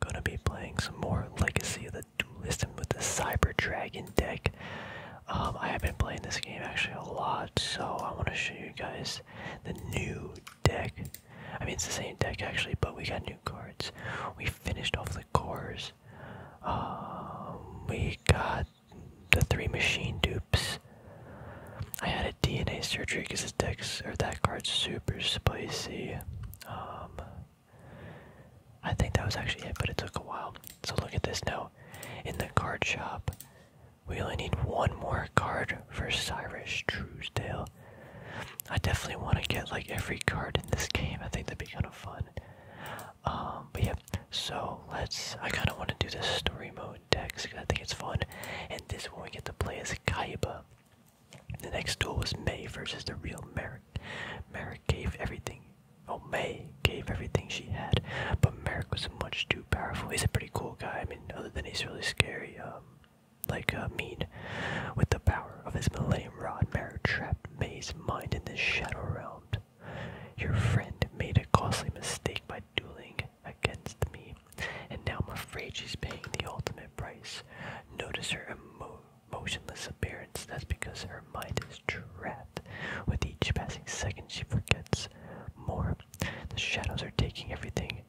Gonna be playing some more Legacy of the Duelist with the Cyber Dragon deck. Um, I have been playing this game actually a lot, so I want to show you guys the new deck. I mean, it's the same deck actually, but we got new cards. We finished off the cores. Um, we got the three machine dupes. I had a DNA surgery because this deck's or that card's super spicy. Um, I think that was actually it, but it took a while. So look at this note. In the card shop, we only need one more card for Cyrus Truesdale. I definitely want to get like every card in this game. I think that'd be kind of fun. Um, but yeah, so let's. I kind of want to do this story mode decks because I think it's fun. And this one we get to play as Kaiba. The next duel was May versus the real Merrick. Merrick gave everything. Oh, May gave everything she had, but Merrick was much too powerful. He's a pretty cool guy. I mean, other than he's really scary, um, like uh, mean. With the power of his Millennium Rod, Merrick trapped May's mind in the Shadow Realm. Your friend made a costly mistake by dueling against me, and now I'm afraid she's paying the ultimate price. Notice her emo motionless appearance. That's because her mind is trapped. With each passing second, she forgets more. The shadows are taking everything,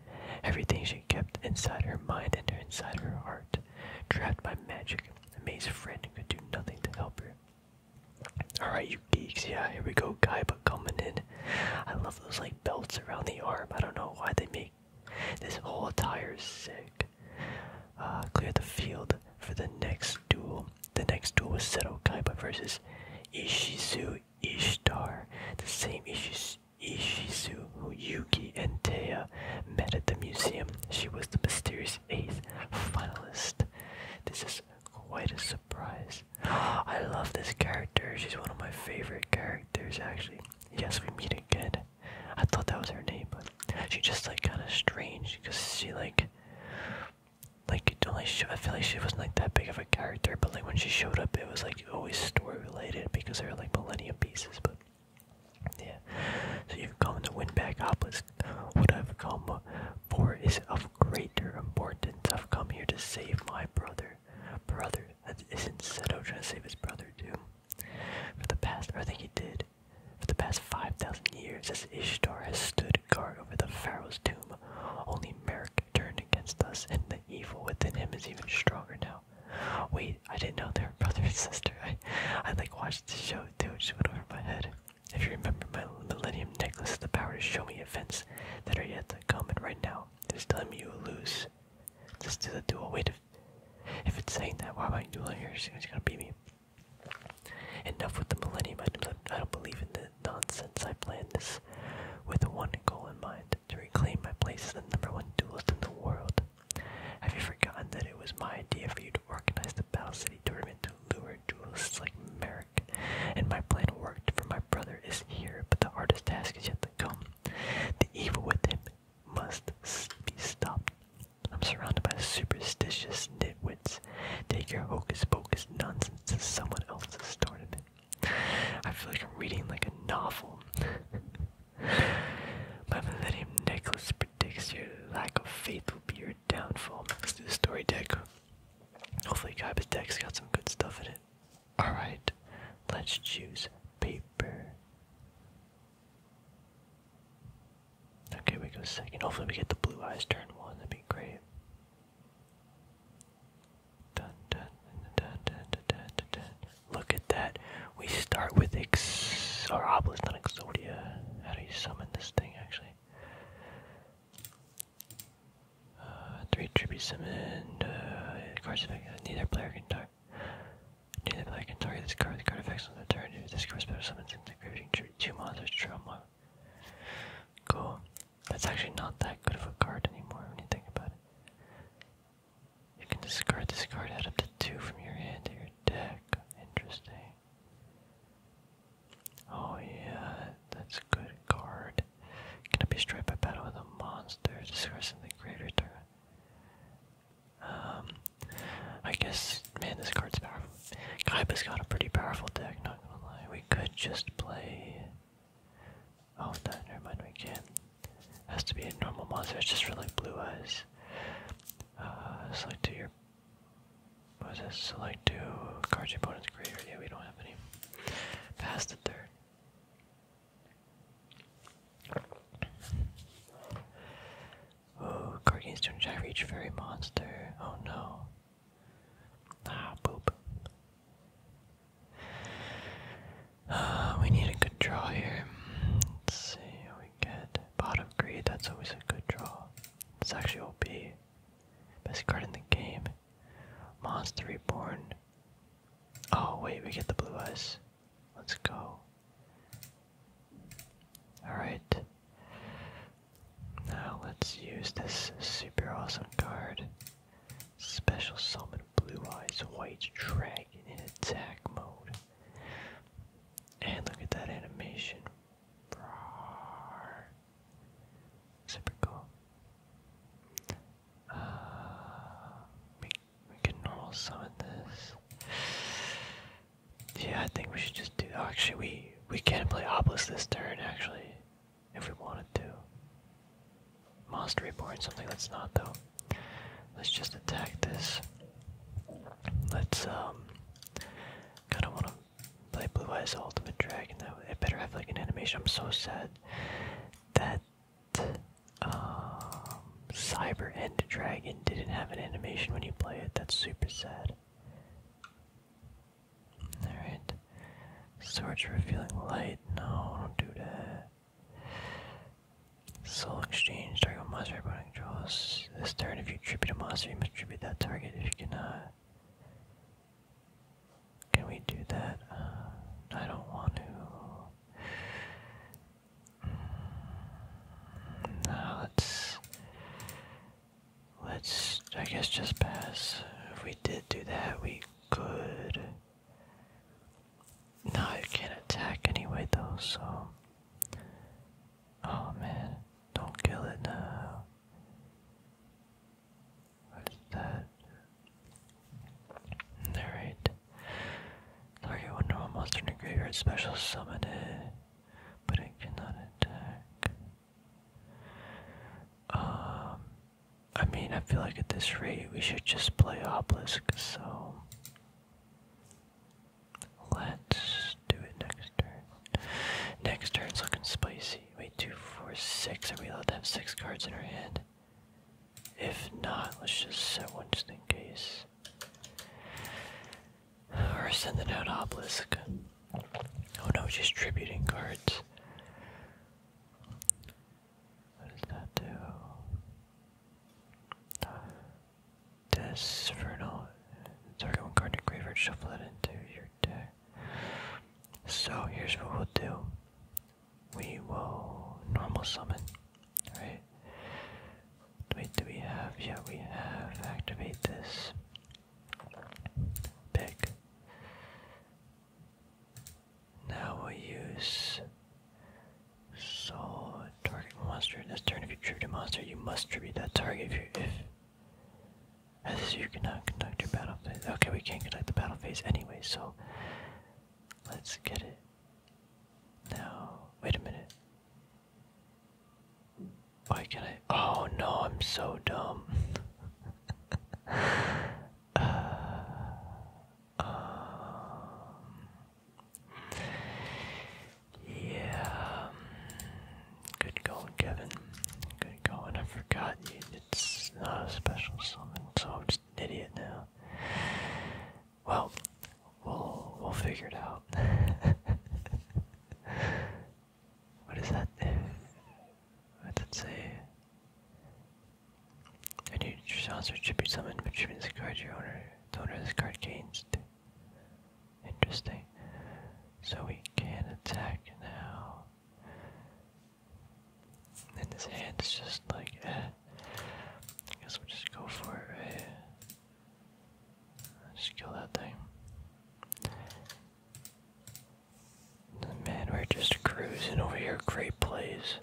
everything she kept inside her mind and inside her heart. Trapped by magic, May's friend could do nothing to help her. Alright, you geeks, yeah, here we go. Guy, but coming in. I love those like belts around the arm. I don't know why they make this whole attire is sick. Uh, clear the field for the next duel. The next duel was Seto Kaiba versus Ishizu Ishtar. The same Ishizu, Ishizu who Yuki and Teya met at the museum. She was the mysterious eighth finalist. This is quite a surprise. I love this character. She's one of my favorite characters, actually. Yes, we meet again. I thought that was her name, but she just like kind of strange because she like, like only I feel like she wasn't like that big of a character, but like when she showed up, it was like always story related because they were like millennium pieces. But yeah, so you've come to win back obelisk. What I've come for is of greater importance. I've come here to save my brother. Brother, that isn't Seto trying to save his brother too. For the past, I think he did, for the past 5,000 years, as Ishtar has stood guard over the pharaoh's tomb, only Merrick turned against us, and the evil within him is even stronger now. Wait, I didn't know they were brother and sister. I, I like watched the show too. It just went over my head. If you remember, my Millennium Necklace has the power to show me events that are yet to come, and right now, it is telling me you will lose. Just do the dual weight if it's saying that, why am I do it? you gonna beat me. Enough with the millennium I don't believe in the nonsense. I planned this with one goal in mind to reclaim my place as the number one duelist in the world. Have you forgotten that it was my idea for you to organize the Battle City tournament to lure duelist like Merrick? And my plan worked for my brother is here, but the hardest task is yet to come. The evil with him must be stopped. I'm surrounded by superstitious nitwits. Take your hocus pocus nonsense to someone else has started it. I feel like I'm reading like a novel. My millennium necklace predicts your lack of faith will be your downfall. Let's do the story deck. Hopefully Kaiba's deck's got some good stuff in it. Alright, let's choose paper. Okay, we go second. Hopefully we get the blue eyes turn one, that'd be great. Dun, dun, dun, dun, dun, dun, dun, Look at that. We start with Ex or Obelisk, not Exodia. How do you summon this thing actually? Uh, three tribute summoned, uh, of course, neither player can talk. Neither player can target this card. The card affects on the turn. If this card special summons into creation, two monsters to draw one. Cool. That's actually not that good of a card anymore when you think about it. You can discard this card, add up to two from your hand to your deck. Interesting. Oh yeah, that's a good card. Can it be striped by battle with the monster? Discard something greater turn. Um, I guess, man, this card's powerful. Kaiba's got a pretty powerful deck, not gonna lie. We could just play. Oh, that never mind, we can Has to be a normal monster, it's just for like blue eyes. Uh, select to your. What is this? Select to cards your opponent's graveyard. Yeah, we don't have any. Pass the third. Oh, Gorgonstone Shy Reach Fairy Monster. Oh no. Ah, boop. Uh, ah, we need a good draw here. see, we get bottom greed, that's always a good draw. It's actually OP. Best card in the game. Monster Reborn. Oh wait, we get the blue eyes. Let's go. Alright. Now let's use this super awesome card. Special summon Blue Eyes White Dragon in attack mode. And look at that animation. Super cool. Uh, we can normal summon this. Yeah, I think we should just do. actually, we we can play Obelisk this turn. Actually, if we wanted to. Monster Reborn, something Let's not though. Let's just attack this. Let's um. Kind of want to play Blue Eyes Ultimate Dragon. That it better have like an animation. I'm so sad that um, Cyber End Dragon didn't have an animation when you play it. That's super sad. Alright. Swords Revealing Light. No, don't do that. Soul Exchange. Target monster opponent controls. This turn, if you tribute a monster, you must tribute that target. If you cannot. Can we do that? Uh, I don't want to let's let's I guess just pass. If we did do that, we could. No, you can't attack anyway though. So, oh man, don't kill it now. What's that? Alright. Target one normal monster in graveyard special summon it, but it cannot attack. Um, I mean, I feel like at this rate we should just play Obelisk, so let's do it next turn. Next turn's looking spicy. Wait, two, four, six. Are we allowed to have six cards in our hand? If not, let's just send one just in case. Or send it out obelisk. Oh no, just tributing cards. What does that do? Desvernal. Target one card in graveyard, shuffle that into your deck. So here's what we'll do. We will normal summon right? Wait, do we have? Yeah, we have. Activate this. Pick. Now we'll use So target monster. This turn, if you tribute a monster, you must tribute that target. If you if as you cannot conduct your battle phase. Okay, we can't conduct the battle phase anyway, so let's get it. Now, wait a minute. Why can't I? Oh no, I'm so dumb. Uh, um, yeah. Good going, Kevin. Good going. I forgot you. It's not a special summon, so I'm just an idiot now. Well, we'll we'll figure it out. what is that? What did it say? A new saucer tribute summon contribute this card to your owner. The owner of this card changed. Interesting. So we can attack now. And his hand is just like eh. I guess we'll just go for it Just kill that thing. man, we're just cruising over here. Great plays.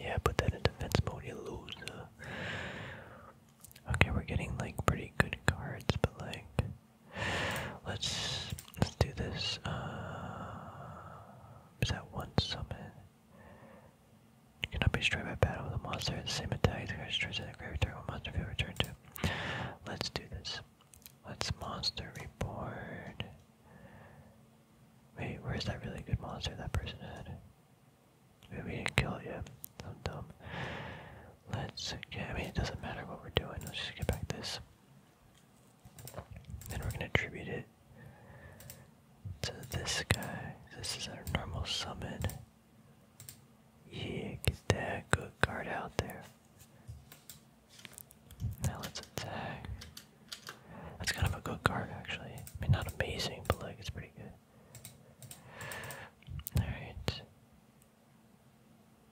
Yeah, put that in defense mode, you loser. Okay, we're getting like pretty good cards, but like, let's let's do this. Uh, is that one summon. You cannot be destroyed by battle with a monster at the same attack as destroys to a graveyard a monster field returned to. Let's do this. Let's monster reborn. Wait, where's that really good monster that person had? Maybe we didn't kill it I'm dumb. Let's get, I mean, it doesn't matter what we're doing. Let's just get back this. Then we're going to attribute it to this guy. This is our normal summon. Yeah, get that good card out there. Now let's attack. That's kind of a good card, actually. I mean, not amazing, but like, it's pretty good. Alright.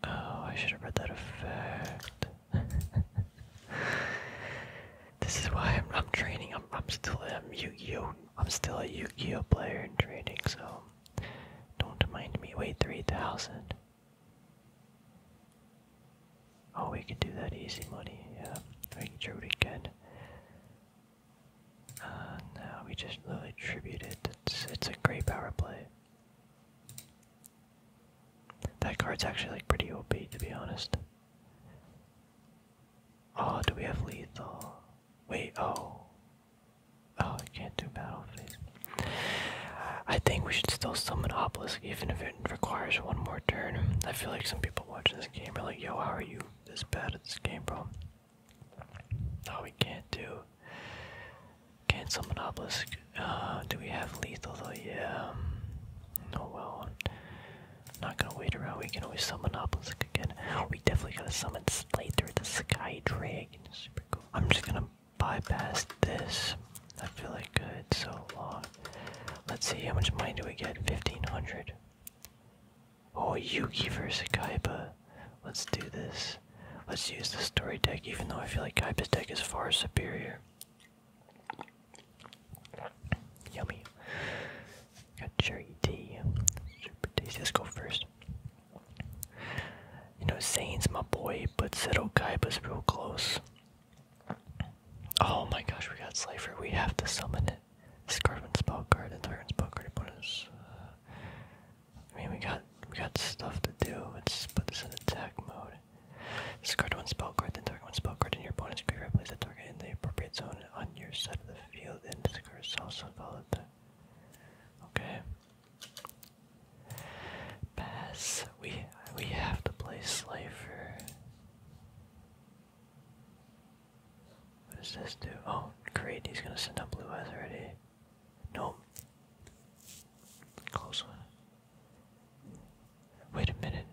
Oh, I should have read that effect. this is why I'm, I'm training. I'm, I'm still a yu Yu-Gi-Oh. I'm still a Yu-Gi-Oh player in training. so don't mind me. Wait, three thousand. Oh, we can do that easy money. Yeah, we sure we can. Uh, no, we just literally tributed. It's, it's a great power play. That card's actually like pretty OP to be honest. Oh, do we have lethal? Wait, oh. Oh, I can't do battle phase. I think we should still summon Obelisk even if it requires one more turn. I feel like some people watching this game are like, yo, how are you this bad at this game, bro? No, we can't do. Can't summon Obelisk. Uh, do we have lethal though? Yeah. Oh well. Not gonna wait around. We can always summon Obelisk again. We definitely gotta summon Slater, the Sky Dragon. I'm just gonna bypass this. I feel like good so long. Let's see how much money do we get? 1500. Oh, Yugi versus Kaiba. Let's do this. Let's use the story deck, even though I feel like Kaiba's deck is far superior. Yummy. Got cherry tea. Super tasty. Let's go first. You know, Zane's my boy, but Seto Kaiba's real close. Oh my gosh, we got Slifer. We have to summon it. Scarven spell card and Iron spell card I mean, we got we got stuff to do. Let's put this in attack mode Discard one spell card, then target one spell card and your opponent's graveyard. Place the target in the appropriate zone on your side of the field, and discard also followed. Okay. Pass. We we have to play Slaver. What does this do? Oh, great! He's gonna send out blue eyes already. No. Close one. Wait a minute.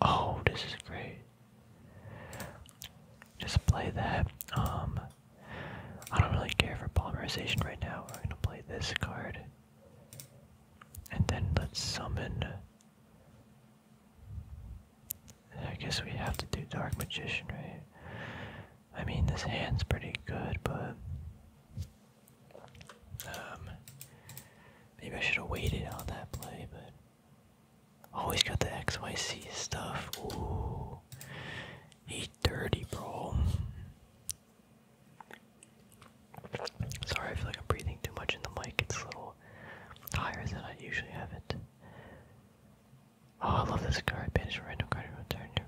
Oh, this is great. Just play that. Um, I don't really care for polymerization right now. We're gonna play this card. And then let's summon. I guess we have to do Dark Magician, right? I mean, this hand's pretty good, but um, maybe I should have waited on that play, but always got the XYC stuff. Ooh, he dirty, bro. Sorry, I feel like I'm breathing too much in the mic. It's a little higher than I usually have it. Oh, I love this card. Banish a random card from turn to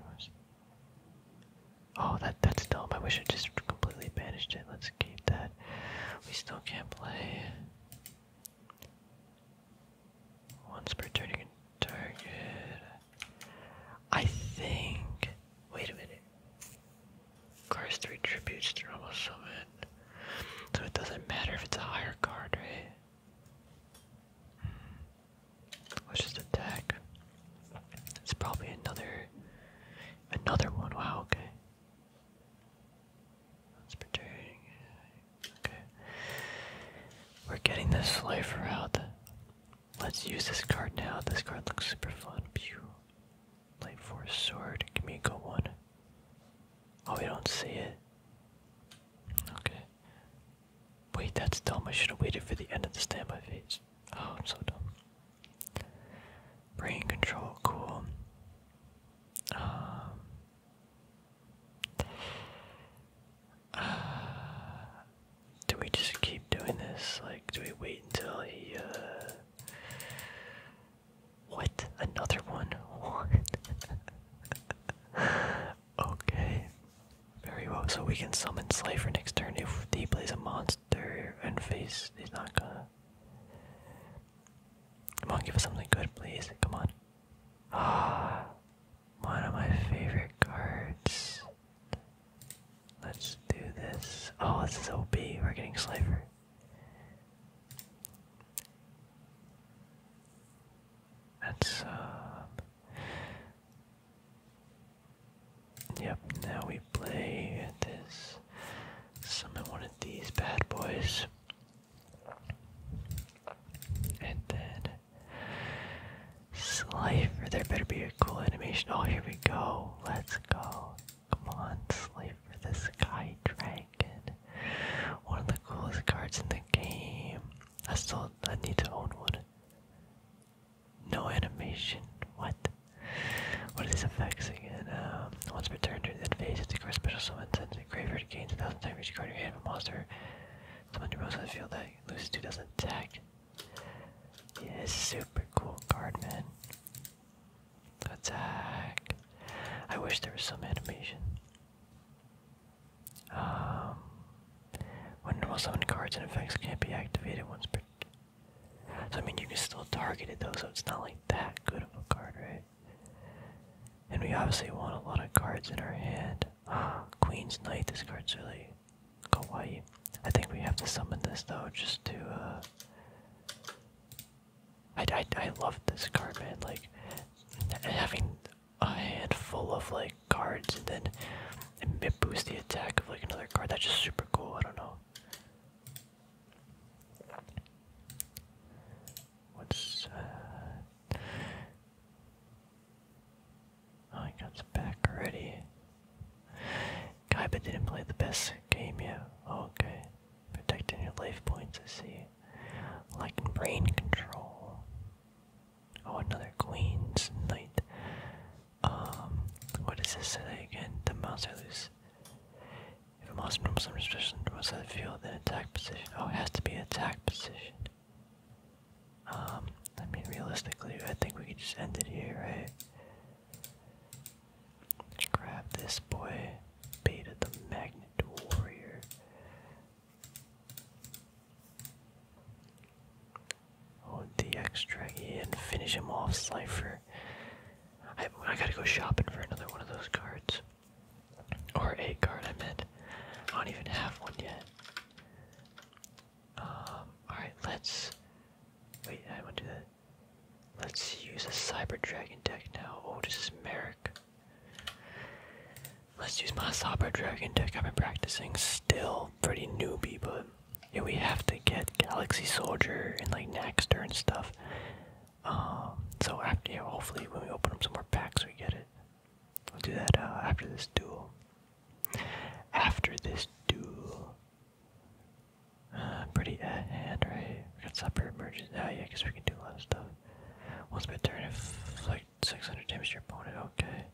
Oh, that that's dumb. I wish I just completely banished it. Let's keep that. We still can't play. Once per turn, target. I think. Wait a minute. Cards three tributes to summon. So it doesn't matter if it's a higher card, right? Hmm. Let's just attack. It's probably another another one. Wow, okay. That's perturbing. Okay. We're getting this slifer out. Let's use this card now. This card looks super fun. Pew. Light force sword. Give me a go one. Oh, we don't see it. Okay. Wait, that's dumb. I should have waited for the end of the standby phase. Oh, I'm so dumb. Brain control, cool. Um, uh, do we just keep doing this? Like, do we wait until he, uh. What? Another one? What? okay. Very well. So we can summon Slay next turn if he plays a monster. Mister face is not gonna. Come on, give us something good, please. Come on. Ah, one of my favorite cards. Let's do this. Oh, this is OP. We're getting Slifer. That's, um... Yep, now we play this. Summon one of these bad boys. And then. Slifer, there better be a cool animation. Oh, here we go. Let's go. Come on, Slifer, the Sky Dragon. One of the coolest cards in the game. I still I need to own one. No animation. What? What are these effects again? Um, once per turn during that phase, it's a special summon sends a graveyard gains a thousand time You can in your hand of a monster. Someone who most on the field that loses two doesn't attack. Yeah, it's super cool card, man. Attack. I wish there was some animation. Um, when normal summon cards and effects can't be activated once per so I mean you can still target it though, so it's not like that good of a card, right? And we obviously want a lot of cards in our hand. Ah, Queen's Knight, this card's really kawaii. I think we have to summon this though, just to uh, I, I, I love this card, man. Like having a handful of like cards, and then and it boosts the attack of like another card. That's just super cool. I don't know. What's uh, Oh he got some back already. Kaiba didn't play the best game yet. Oh, okay. Protecting your life points, I see. Like brain control. Oh, another Queen's Knight. Um, what does this again? The monster loses. If a monster from some restriction was on the field, then attack position. Oh, it has to be an attack position. Um, I mean, realistically, I think we could just end it here, right? Grab this boy, Beta the Magnet Warrior. Oh, DX Draggy and finish him off, Slifer. I, I gotta go shopping for another one of those cards. Or eight card, I meant. I don't even have one yet. Um, alright, let's. Wait, I want to do that. Let's use a Cyber Dragon deck now. Oh, this is Merrick. Let's use my Cyber Dragon deck. I've been practicing still. Pretty newbie, but yeah, we have to get Galaxy Soldier and like Naxter and stuff. Um, so after, yeah, hopefully when we open up some more packs, we get it. We'll do that uh, after this duel. After this duel. Uh, pretty ahead, right? We got separate emergency. Oh, yeah, because we can do a lot of stuff. Once my turn, if like 600 damage to your opponent, okay.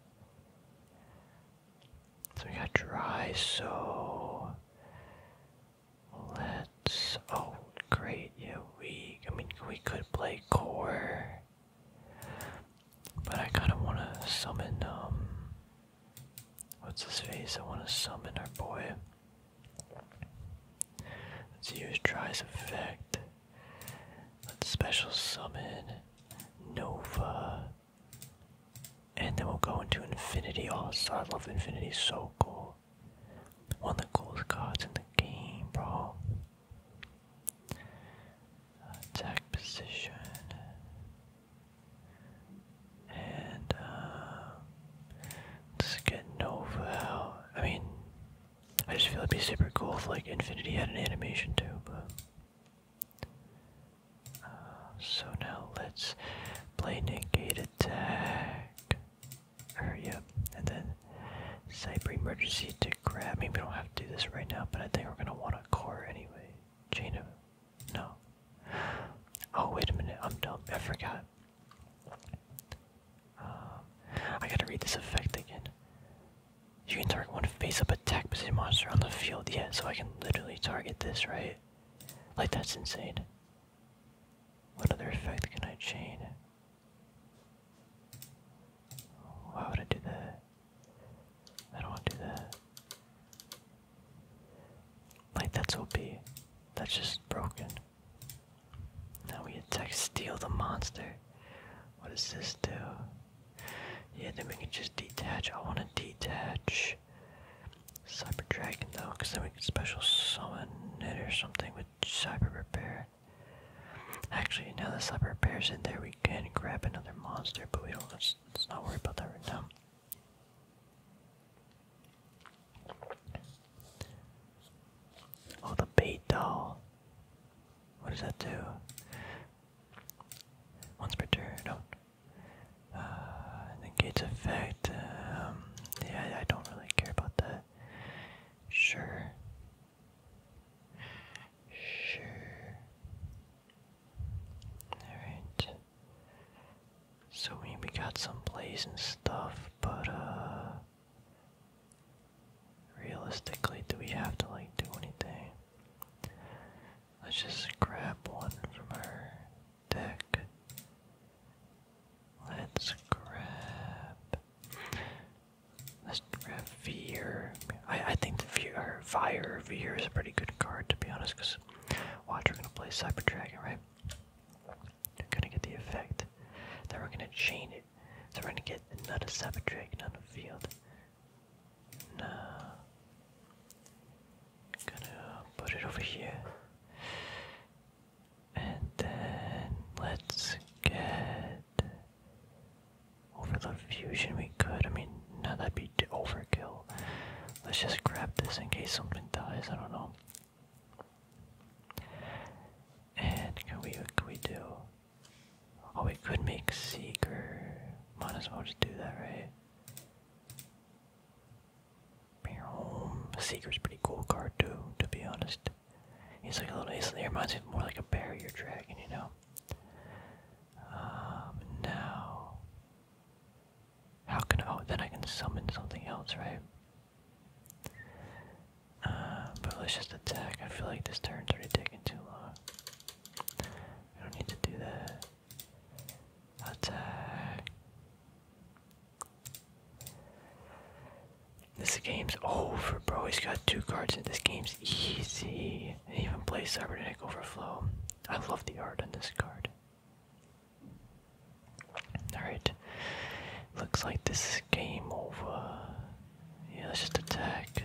So we got dry, so let's. Oh, great! Yeah, we. I mean, we could play core, but I kind of want to summon. Um, what's his face? I want to summon our boy. Let's use dry's effect. Let's special summon Nova. And then we'll go into Infinity also. Oh, I love Infinity, so cool. One of the coolest cards in the game, bro. Attack position. And, uh, let's get Nova I mean, I just feel it'd be super cool if, like, Infinity had an animation too, so now let's play negate attack. Hurry and then cyber emergency to grab. Maybe we don't have to do this right now, but I think we're gonna want a core anyway. Chain of no. Oh wait a minute, I'm dumb. I forgot. Um, I gotta read this effect again. You can target one face up attack the monster on the field. Yeah, so I can literally target this, right? Like, that's insane. What other effect can I chain? Why would I do that? I don't want to do that. Like, that's OP. That's just broken. Now we attack Steal the Monster. What does this do? Yeah, then we can just detach. I want to detach. Cyber Dragon though, because then we can special summon it or something with Cyber Repair. Actually, now that Cyber Repair's in there, we can grab another monster, but we don't. Let's, not worry about that right now. Oh, the bait doll. What does that do? Once per turn. No, uh, negates effect. Um, yeah, I don't really care about that. Sure. Sure. Alright. So we, we got some plays and stuff, but uh, Realistically, do we have to like do anything? Let's just grab one from her deck. Let's grab. Let's grab Fear. I, I think the Fear, Fire Fear is a pretty good card to be honest, because watch, we're going to play Cyber Dragon, right? We're going to get the effect. Then we're going to chain it. So we're going to get another Cyber Dragon on the field. No. I'm gonna put it over here. And then let's get over the fusion we could. I mean, no, that'd be overkill. Let's just grab this in case something dies. I don't know. And can we? can we do? Oh, we could make Seeker. Might as well just do that, right? Seeker's pretty cool card too, to be honest. He's like a little, he's, he reminds me more like a barrier dragon, you know? Um, now... How can oh, then I can summon something else, right? Uh, but let's just attack. I feel like this turn's already taking too long. I don't need to do that. Attack. This game's over, bro. He's got two cards, and this game's easy. And even play Cybernetic Overflow. I love the art on this card. Alright. Looks like this is game over. Yeah, let's just attack.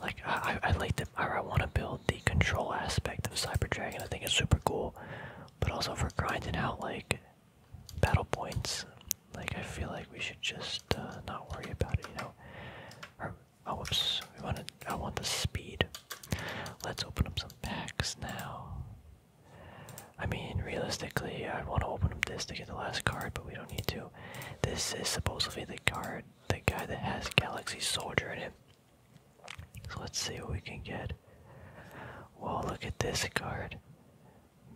Like I, I like the I, want to build the control aspect of Cyber Dragon. I think it's super cool, but also for grinding out like battle points. Like I feel like we should just uh, not worry about it. You know. oh whoops. We want to. I want the speed. Let's open up some packs now. I mean, realistically, I want to open up this to get the last card, but we don't need to. This is supposed to be the card the guy that has Galaxy Soldier in him. So let's see what we can get. Whoa, look at this card.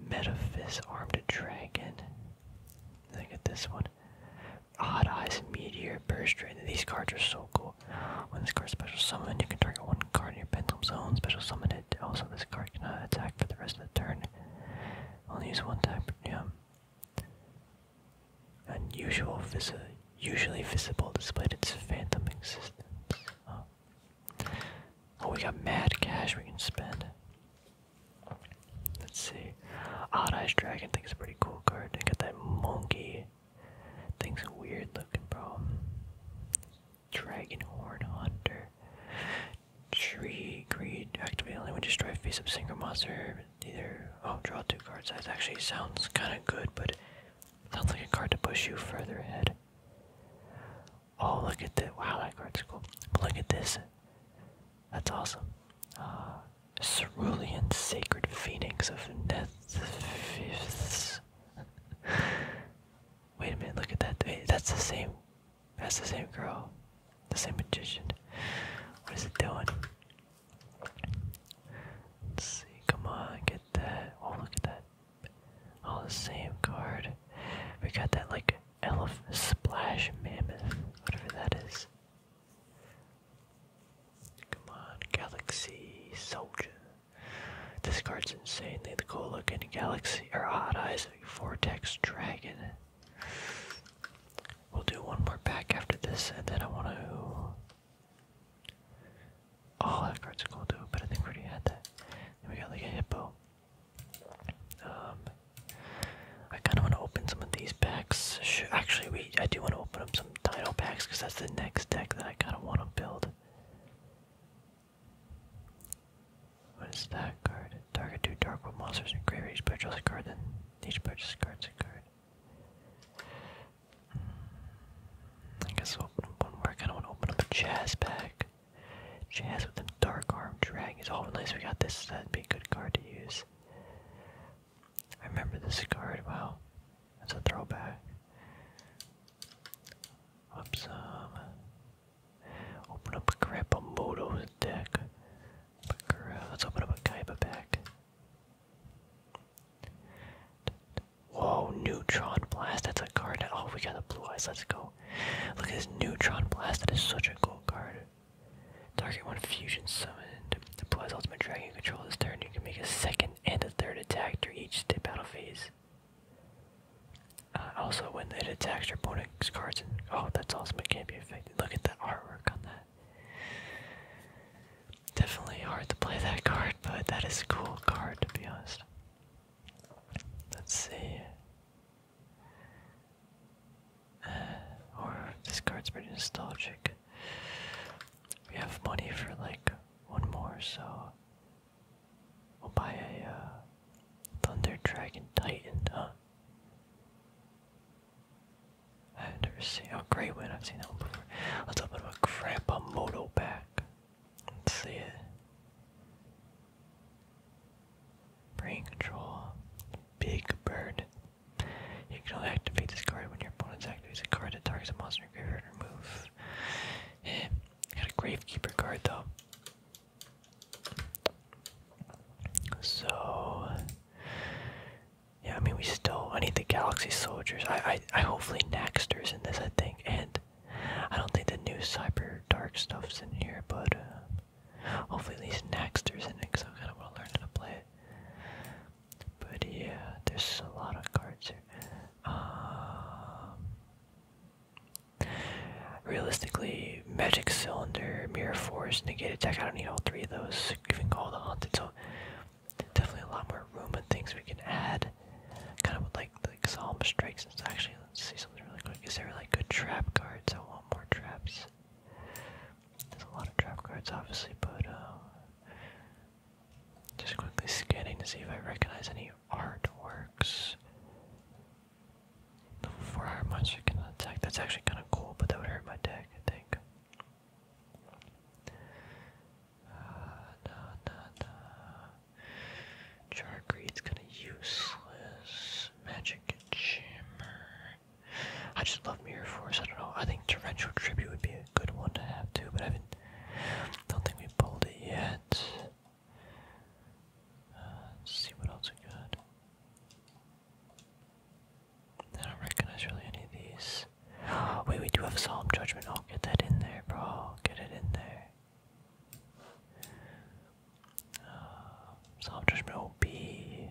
Metaphys Armed Dragon. Look at this one. Odd Eyes Meteor Burst Drain. These cards are so cool. When this card special summoned, you can target one card in your pendulum zone. Special summon it. Also, this card cannot attack for the rest of the turn. Only use one time. Yeah. Unusual usually visible despite its phantom existence. Oh, oh. we got mad cash we can spend. Let's see. Odd Eyes Dragon, thinks a pretty cool card. They got that monkey. Thing's weird looking, bro. Dragon Horn Hunter. Tree Greed. Activate only when destroy face up single monster. Either Oh, draw two cards. That actually sounds kind of good, but sounds like a card to push you further ahead. Oh, look at that! Wow, that card's cool. Look at this. That's awesome. Uh, Cerulean Sacred Phoenix of Fifth. Wait a minute, look at that. that's the same. That's the same girl. The same magician. What is it doing? Let's see. Come on, get that. Oh, look at that. All the same card. We got that like elephant splash mammoth, whatever that is. Come on, galaxy soldier. This card's insanely cool looking. Galaxy or hot eyes, vortex dragon. We'll do one more pack after this, and then I want to. Oh, that card's cool too, but I think we already had that. we got like a hippo. Um, I kind of want to open some of these packs. actually, we I do want to open up some title packs because that's the next deck that I kind of want to build. What is that card? Target two Darkwood monsters and graveyard. Each purchase a card, then each purchase card's a card. Hmm, I guess we'll open up one more. I kind of want to open up a Jazz pack. Jazz with the Dark Arm Dragons. Oh, nice. We got this. That'd be a good card to use. I remember this card. Wow. That's a throwback. Whoops. Um, open up a Grandpa Moto's deck. Let's open up a Kaiba pack. Whoa, Neutron Blast. That's a card. Oh, we got the blue eyes. Let's go. Look at this Neutron Blast. That is such a cool card. Target one fusion summoned. Deploys Ultimate Dragon Control this turn. You can make a second and a third attack during each Step battle phase. Uh, also, when it attacks your opponent's cards, oh, that's awesome! It can't be affected. Look at the artwork on that. Definitely hard to play that card, but that is a cool card to be honest. Let's see. Uh, or this card's pretty nostalgic. We have money for like one more, so we'll buy a uh, Thunder Dragon Titan, huh? I've never seen a great one. I've seen that one before. Let's open up a Crapamoto pack. Let's see it. Brain control. Big bird. You can only activate this card when your opponent's activates a card that targets a monster in your graveyard and remove. got a gravekeeper card though. So yeah, I mean we still I need the Galaxy Soldiers. I I, I hopefully Naxter's in this I think and I don't think the new Cyber Dark stuff's in here, but uh, hopefully at least Naxter's in it because I kind of want to learn how to play it. But yeah, there's a lot of cards here. Um, realistically, magic cylinder, mirror force, negate attack. I don't need all three of those. Even call the haunted. So definitely a lot more room and things we can add. Kind of with like the solemn strikes. It's actually let's see something really quick. Is there like good trap cards? I want more traps. There's a lot of trap cards, obviously, but uh, just quickly scanning to see if I recognize any artworks. 4 hard monster can attack. That's actually kind of cool, but that would hurt my deck, I think. Uh, nah, nah, nah. Jargreed's kind of useless. Magic Jammer. I just love Mirror Force. I don't know. I think Torrential Tribute would be a good one to have too, but I haven't. Don't think we pulled it yet. Uh, see what else we got. I don't recognize really any of these. Wait, we do have a judgment. I'll get that in there, bro. Get it in there. Uh, judgment will be.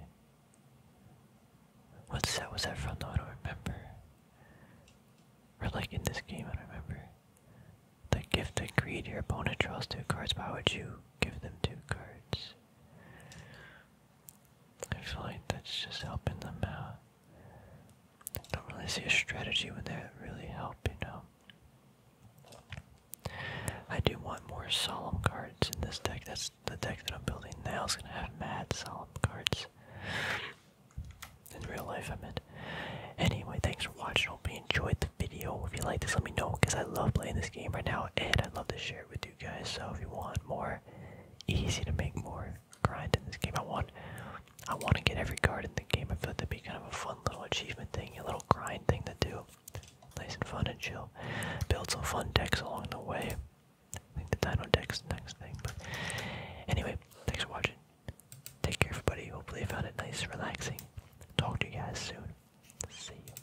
What set was that from? No, I don't remember. Or like in this game, I don't remember. The gift of greed. Your opponent draws two cards. Why would you give them two cards? I feel like that's just helping them out. I don't really see a strategy when they really help, you know. I do want more solemn cards in this deck. That's the deck that I'm building now. Is gonna have mad solemn cards. In real life, I meant. Anyway, thanks for watching. Hope you enjoyed the video. If you like this, let me know because I love playing this game right now, and I love to share with you guys. So if you want more, easy to make more grind in this game. I want, I want to get every card in the game. I feel that'd be kind of a fun little achievement thing, a little grind thing to do. Nice and fun and chill. Build some fun decks along the way. I think the Dino deck's next thing. But anyway, thanks for watching. Take care, everybody. Hopefully, you found it nice, and relaxing. Talk to you guys soon. See you.